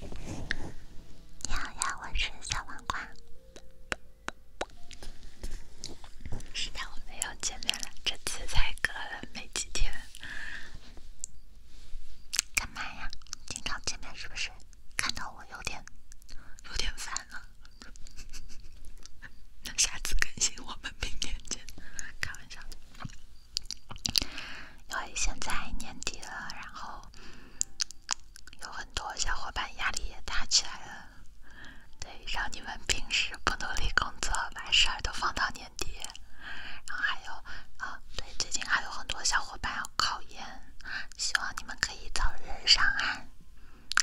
你好呀，我是小黄瓜。是的，我们又见面了，这次才隔了没几天。干嘛呀？经常见面是不是？看到我有点，有点烦了。那下次更新我们明天见，开玩笑。因为现在年底了，然后有很多小伙伴压力也大起来了。对，让你们平时不努力工作，把事儿都放到年底。然后还有啊，对，最近还有很多小伙伴要考研，希望你们可以早日上岸。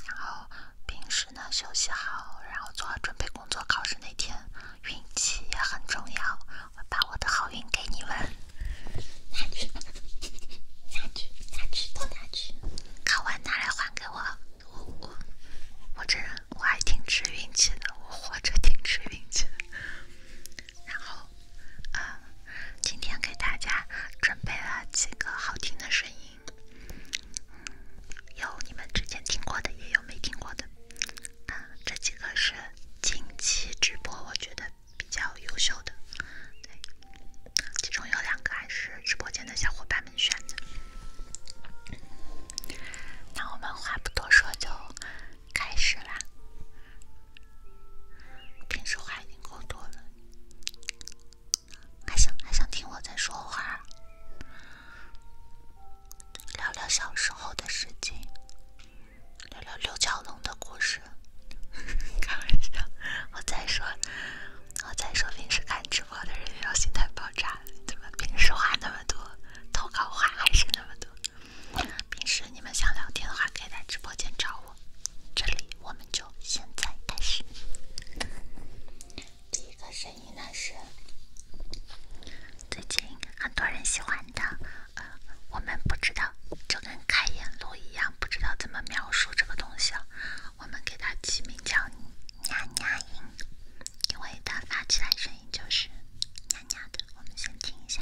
然后平时呢休息好，然后做好准备工作，考试那天运气也很重要。我把我的好运给你们，拿去，拿去，拿去，都拿去。考完拿来还给我。我我我这人我还挺吃运气的，我活着挺吃运气的。然后，啊，今天给大家准备了几个好听的声音，有你们之前听过的，也有没听过的。啊，这几个是近期直播，我觉得比较优秀的，对，其中有两个还是直播间的小伙伴们选的。那我们话不多说，就开始啦。平时话已经够多了，还想还想听我再说话。聊聊小时候的事情，聊聊六角龙的故事。开玩笑，我在说，我在说。平时看直播的人要心态爆炸，怎么平时话那么多，投稿话还是那么多。平时你们想聊天的话，可以在直播间找我。这里我们就现在开始。第一个声音呢是。最近很多人喜欢的，呃，我们不知道，就跟开眼路一样，不知道怎么描述这个东西了。我们给它起名叫“娘娘音”，因为它发起来声音就是“娘娘”的。我们先听一下。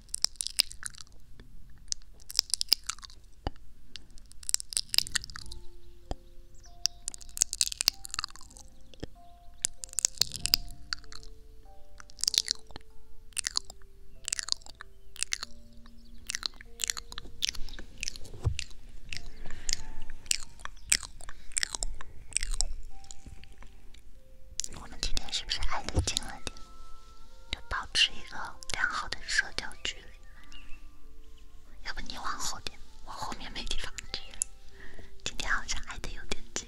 我们今天是不是挨得近了点？就保持一个良好的社交距离，要不你往后点，我后面没地方贴今天好像挨得有点近。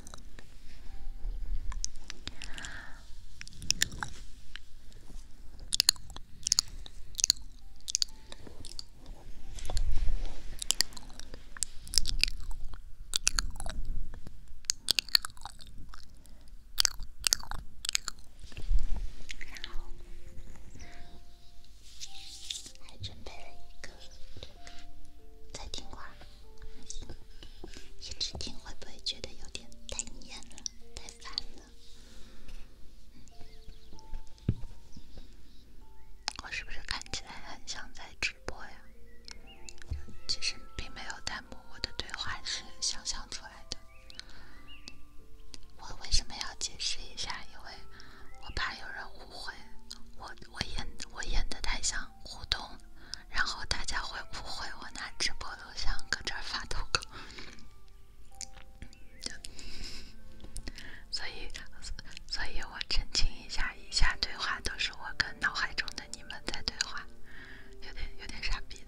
然准备了一个这听会一直听会不会觉得有点太腻了、太烦了？我是不是看起来很像在直播呀？其实并没有弹幕，我的对话是想象出来的。我为什么要解释一下？因为我怕有人不会，我我演我演的太像互动，然后大家会误会我拿直播录像搁这儿发投稿，所以所以，我澄清一下，以下对话都是我跟脑海中的你们在对话，有点有点傻逼的。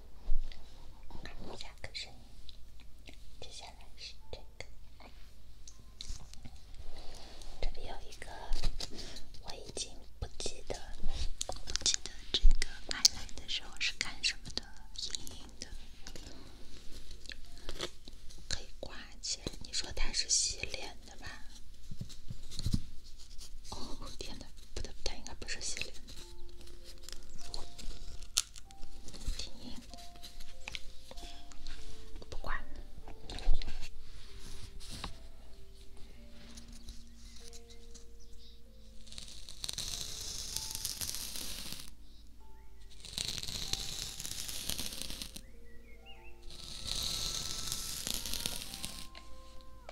下个声接下来是这个。这里有一个，我已经不记得，不记得这个买来的时候是干什么的。硬硬的，可以挂起来。你说它是洗脸的吧？哦天！不，它应该不是洗脸。听音，不管。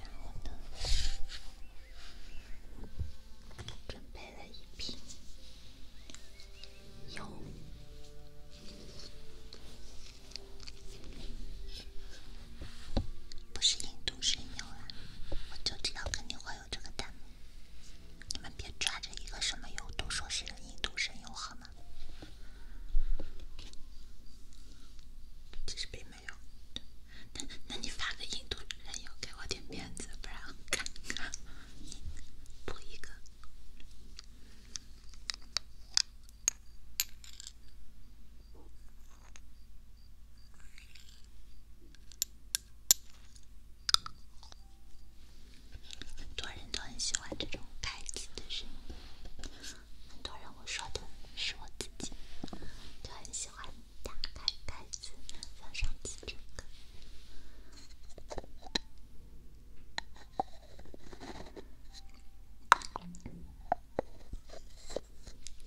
然后呢？准备了一瓶不是印度神油啊！我就知道肯定会有这个弹幕。你们别抓着一个什么油都说是印度神油好吗？其实并没有，那那你发个印度人有给我点面子，不然看补一个。很多人都很喜欢这种盖子的声音。很多人我说的是我自己，就很喜欢打开盖子，像上次这个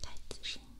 盖子声音。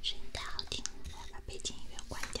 声音太好听，了，我要把背景音乐关掉。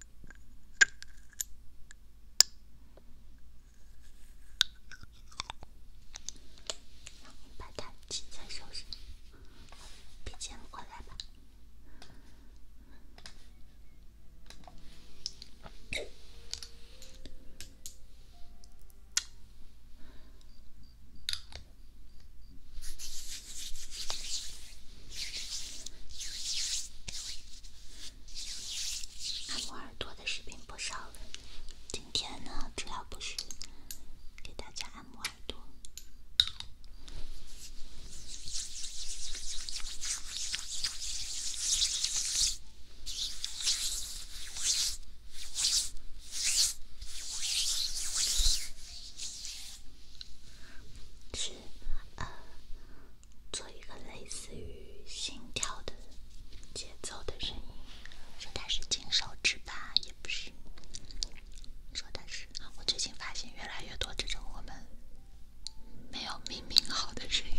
把东西再收拾，别钱过来吧。按摩耳朵的视频不少了，今天呢，主要不是给大家按摩耳朵。呃，做一个类似于心跳的节奏的声音，说它是金手指吧，也不是。说它是……我最近发现越来越多这种我们没有命名好的声音。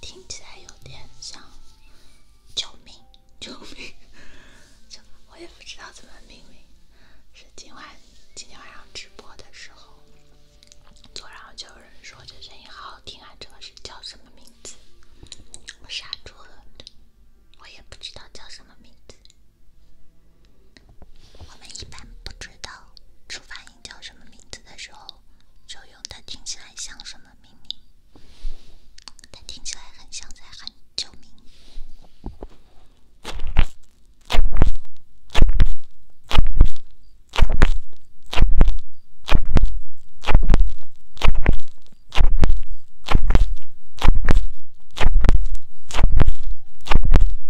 听起来有点像救命，救命！我也不知道怎么命名。是今晚今天晚上直播的时候昨晚后就有人说这声音好好听啊，这个是叫什么名字？我傻住了，我也不知道叫什么名字。我们一般不知道猪发音叫什么名字的时候。就用它听起来像什么秘密，它听起来很像在喊救命。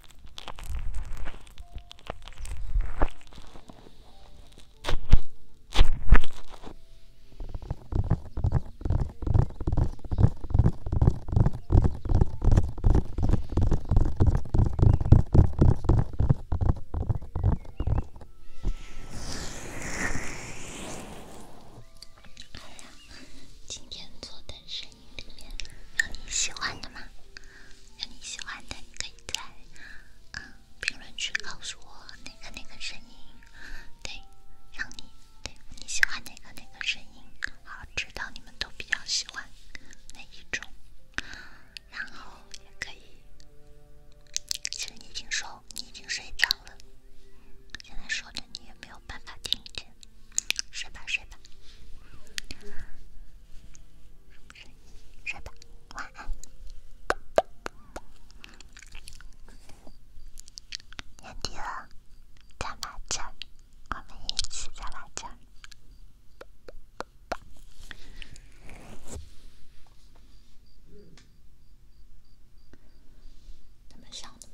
呀，今天做的是。里面有你喜欢的吗？有你喜欢的，你可以在啊评论区告诉我哪个哪个声音，对，让你对你喜欢哪个哪个声音，好，知道你们都比较喜欢哪一种，然后也可以。其实你已经说你已经睡着了，现在说的你也没有办法听见。睡吧，睡吧。睡吧，晚安。年底了，在哪儿，我们一起在哪儿这想的